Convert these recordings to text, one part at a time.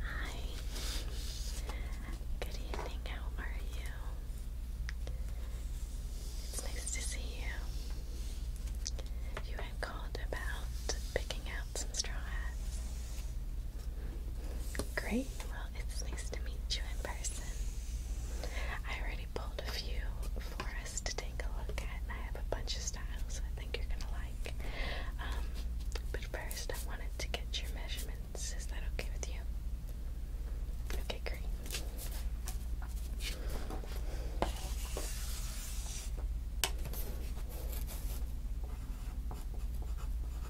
Hi. Good evening. How are you? It's nice to see you. You had called about picking out some straw hats. Great, well, it's nice to meet you in person. I already pulled a few for us to take a look at, and I have a bunch of styles I think you're gonna like. Um, but first, I wanted to get your measurements. Is that okay with you? Okay, great.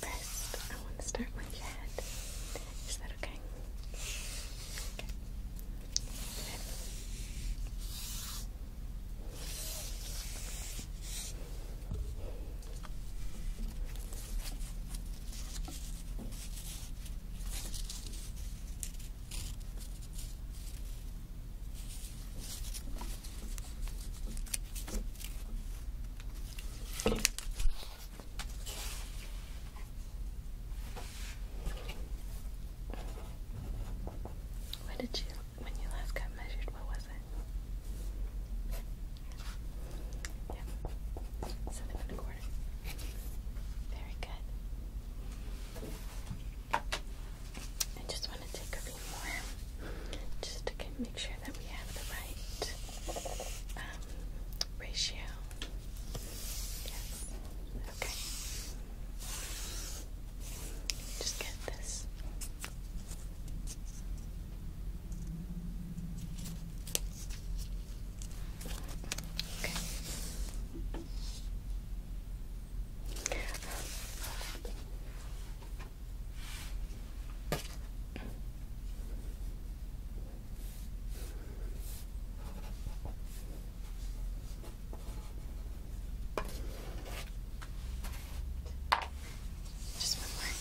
First, I want to start with your head. Is that okay? When did you, when you last got measured, what was it? Yeah, seven and a quarter. Very good. I just want to take a few more just to make sure that we have the right um, ratio. Yes. Okay. Just get this. Okay. Just one more.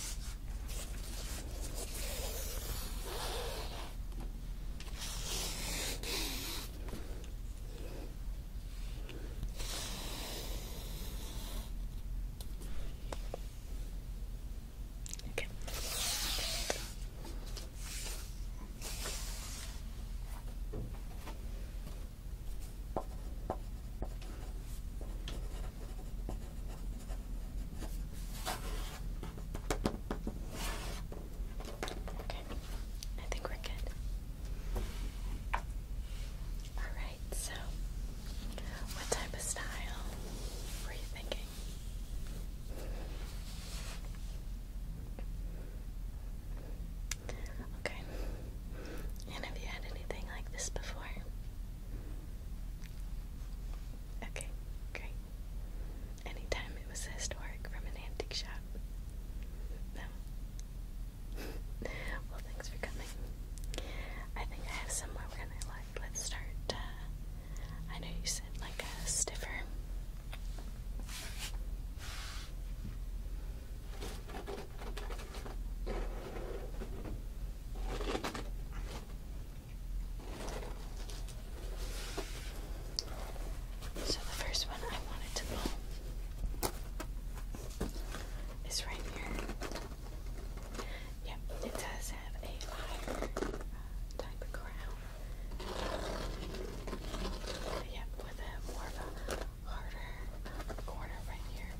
Okay. Okay, I think we're good. Alright, so what type of style were you thinking? Okay. And have you had anything like this before? Okay, great. Anytime it was historic from an antique shop? No? well, thanks for coming. I think I have somewhere we're gonna like. Let's start. Uh, I know you said like a stiffer. So the first one I wanted to pull is right here. Yeah, it does have a higher uh, type of crown. Yeah, with a more harder uh, corner right here.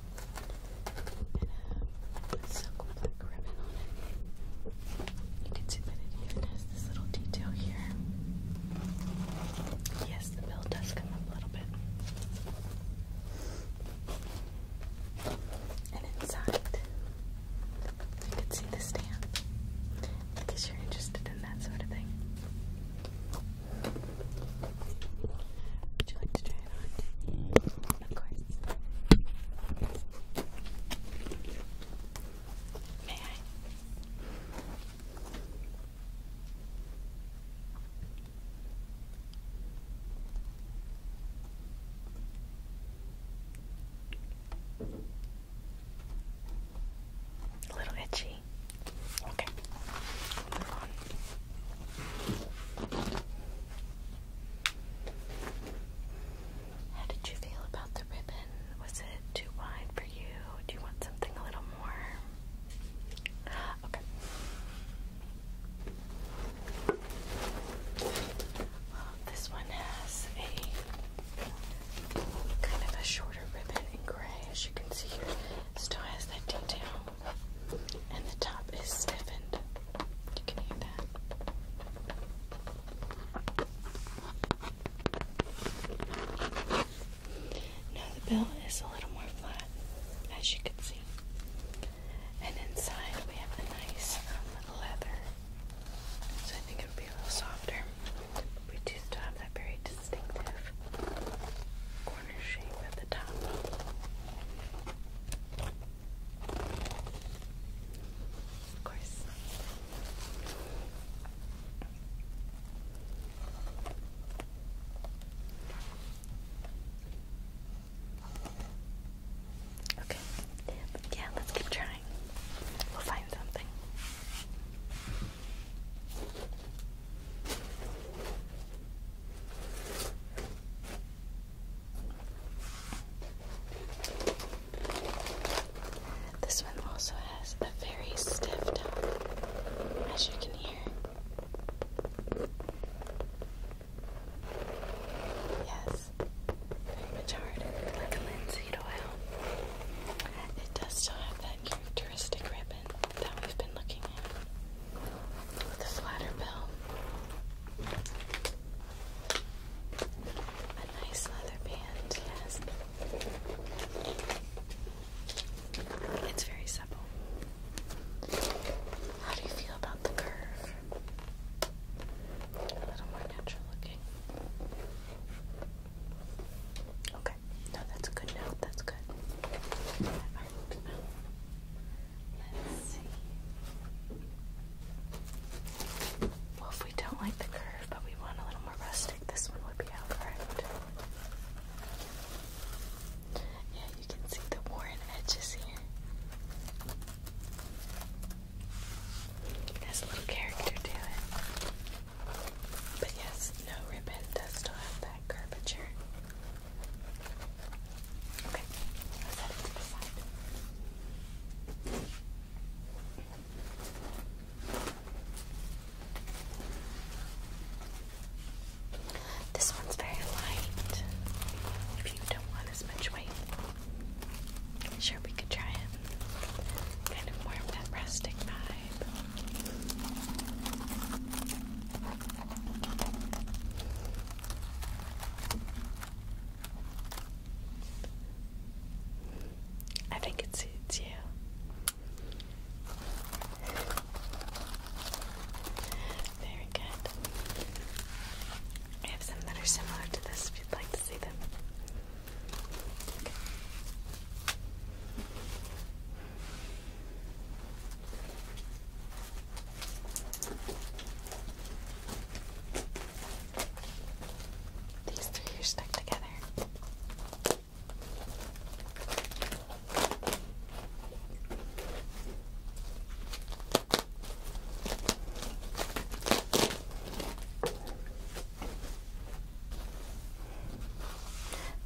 And a silk black ribbon on it. You can see that it even has this little detail here. Yes, the bill does come up a little bit. And inside, you can see the stamp in case you're interested in that sort of thing. Would you like to try it on? Of course. May I? A little itchy. Okay. Move on. How did you feel about the ribbon? Was it too wide for you? Do you want something a little Okay. this one has a kind of a shorter ribbon in gray, as you can see here. It still has that detail, and the top is stiffened. You can hear that. Now the belt is a little more flat, as you can see. And inside we have a nice um, leather, so I think it would be a little softer. we do have that very distinctive corner shape at the top. Of course. Okay. Yeah, let's keep trying. We'll find something. This one also has a very stiff top, as you can hear. Yes, very much harder, like linseed oil. It does still have that characteristic ribbon that we've been looking at with flatter bill. A nice leather band, yes. It's very simple. How do you feel about the curve? A little more natural looking. Okay. No, that's good note. That's good. Alright, let's see. Well, if we don't like the curve, but we want a little more rustic, this one would be out, yeah, you can see the worn edges here. It has a little character to it. But yes, no ribbon does still have that curvature. Okay, this one's very light. If you don't want as much weight, sure we could try it. Kind of more of that rustic vibe. I think it suits you. Very good. I have some that are similar to this if you'd like to see them. These three are stuck together.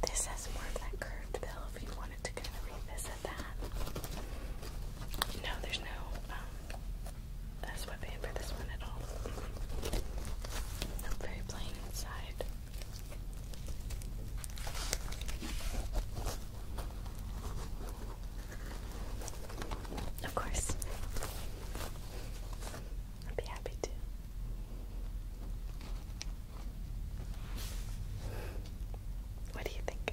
This has more of that curved bill if you wanted to kind of revisit that. No, there's no um, uh, sweatband for this one at all. very plain inside. Of course. I'd be happy to. What do you think?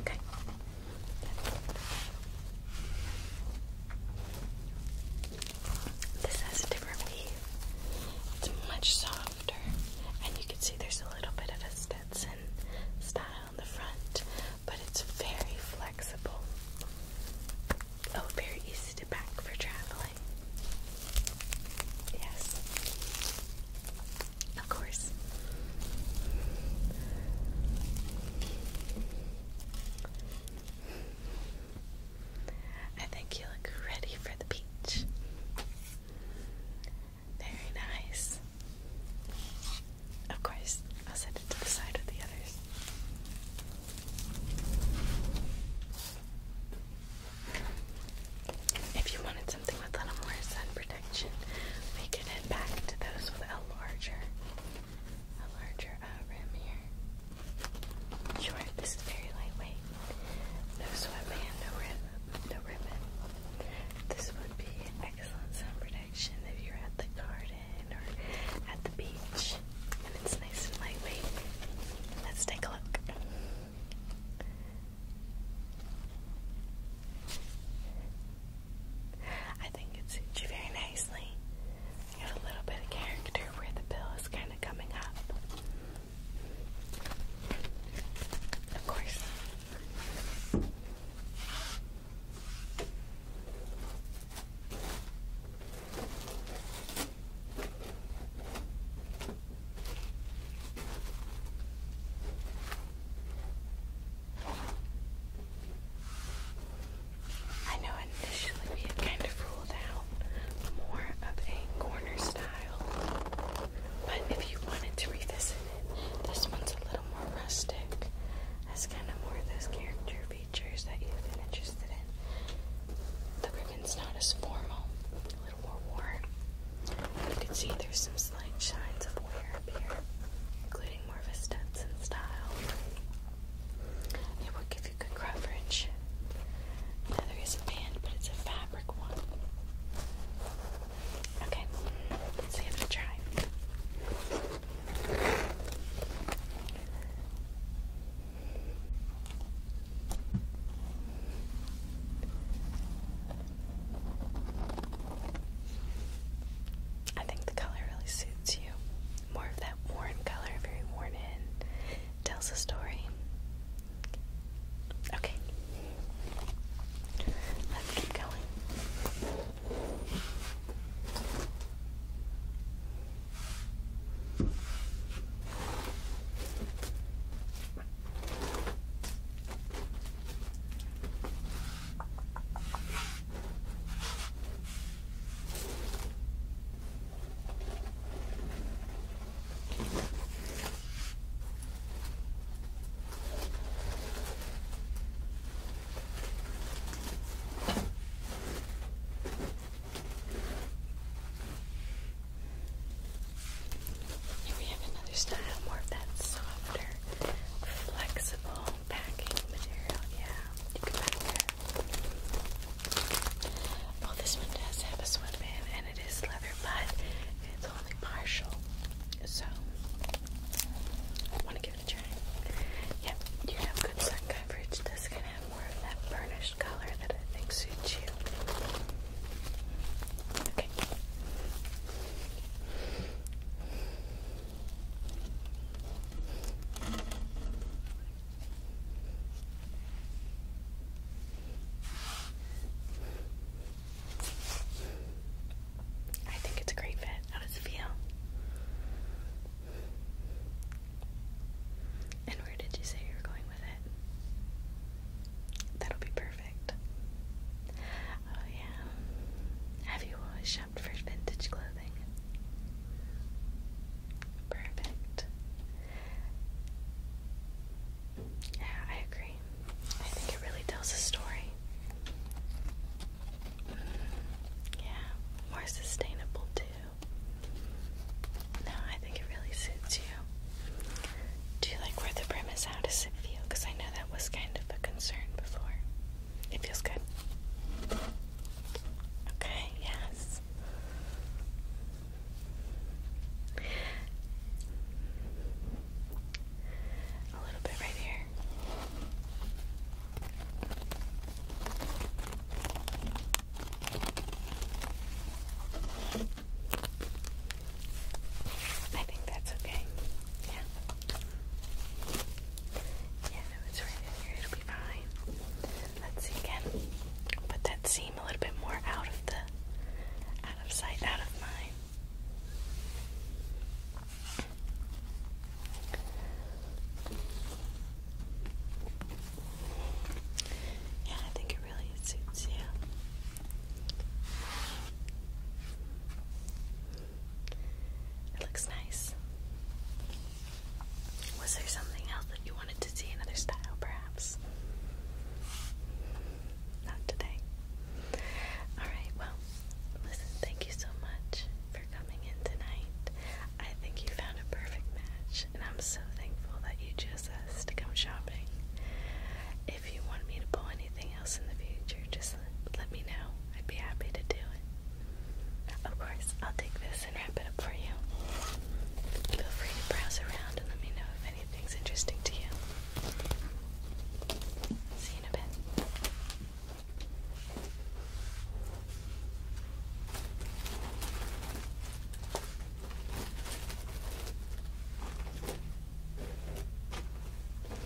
Okay. This has a different weave. It's much softer, and you can see there's a little bit of a Stetson style in the front, but it's very flexible. Oh, very easy to pack for traveling. Yes, of course. I think you look ready for the beach. Very nice. Of course, I'll set it to the side with the others. If you wanted something with a little more sun protection, we could head back to those with a larger a larger uh, rim here. Sure, this is very lightweight. No sweatband, no rim, no ribbon. This would be excellent sun protection if you're at the garden or at the beach. And it's nice and lightweight. Let's take a look. I think it suits you very nicely. You have a little bit of character where the bill is kind of coming up. Of course. I know initially we had kind of ruled out more of a corner style, but if you wanted to revisit it, this one's a little more rustic. That's kind of more of those character features that you've been interested in. The ribbon's not as formal, a little more worn. You can see there's some slight signs of wear up here, including more of a Stetson style. It will give you good coverage. Leather is a band, but it's a fabric one. Okay, let's give it a try. I think the color really suits you more of that worn color, very worn in. Tells a story. Okay. Let's keep going. Here we have another style, more of that softer, flexible packing material. Yeah, Well, this one does have a sweatband and it is leather, but it's only partial. So, I want to give it a try. Yep, you have good sun coverage. This can have more of that burnished color that I think suits you. Okay. I think it's a great fit. How does it feel? And where did you say you were going with it? That'll be perfect. Oh yeah. Have you always shopped for vintage clothing? Perfect. Yeah, I agree. I think it really tells a story. Mm, yeah, more sustainable too. No, I think it really suits you. Do you like where the brim is? How does it feel? Because I know that was kind of a concern before. It feels good. Okay, yes. A little bit right here. I think that's okay. Yeah. Yeah, it's right in here. It'll be fine. Let's see again. Put that seam a little bit more out of the out of sight, out of mind. Yeah, I think it really suits you. It looks nice. Was there something else that you wanted to see? Another style, perhaps? Not today. Alright, well, listen, thank you so much for coming in tonight. I think you found a perfect match, and I'm so thankful that you chose us to come shopping. If you want me to pull anything else in the future, just let me know. I'd be happy to do it. Of course, I'll take this and wrap it up for you. Feel free to browse around and let me know if anything's interesting to you. See you in a bit.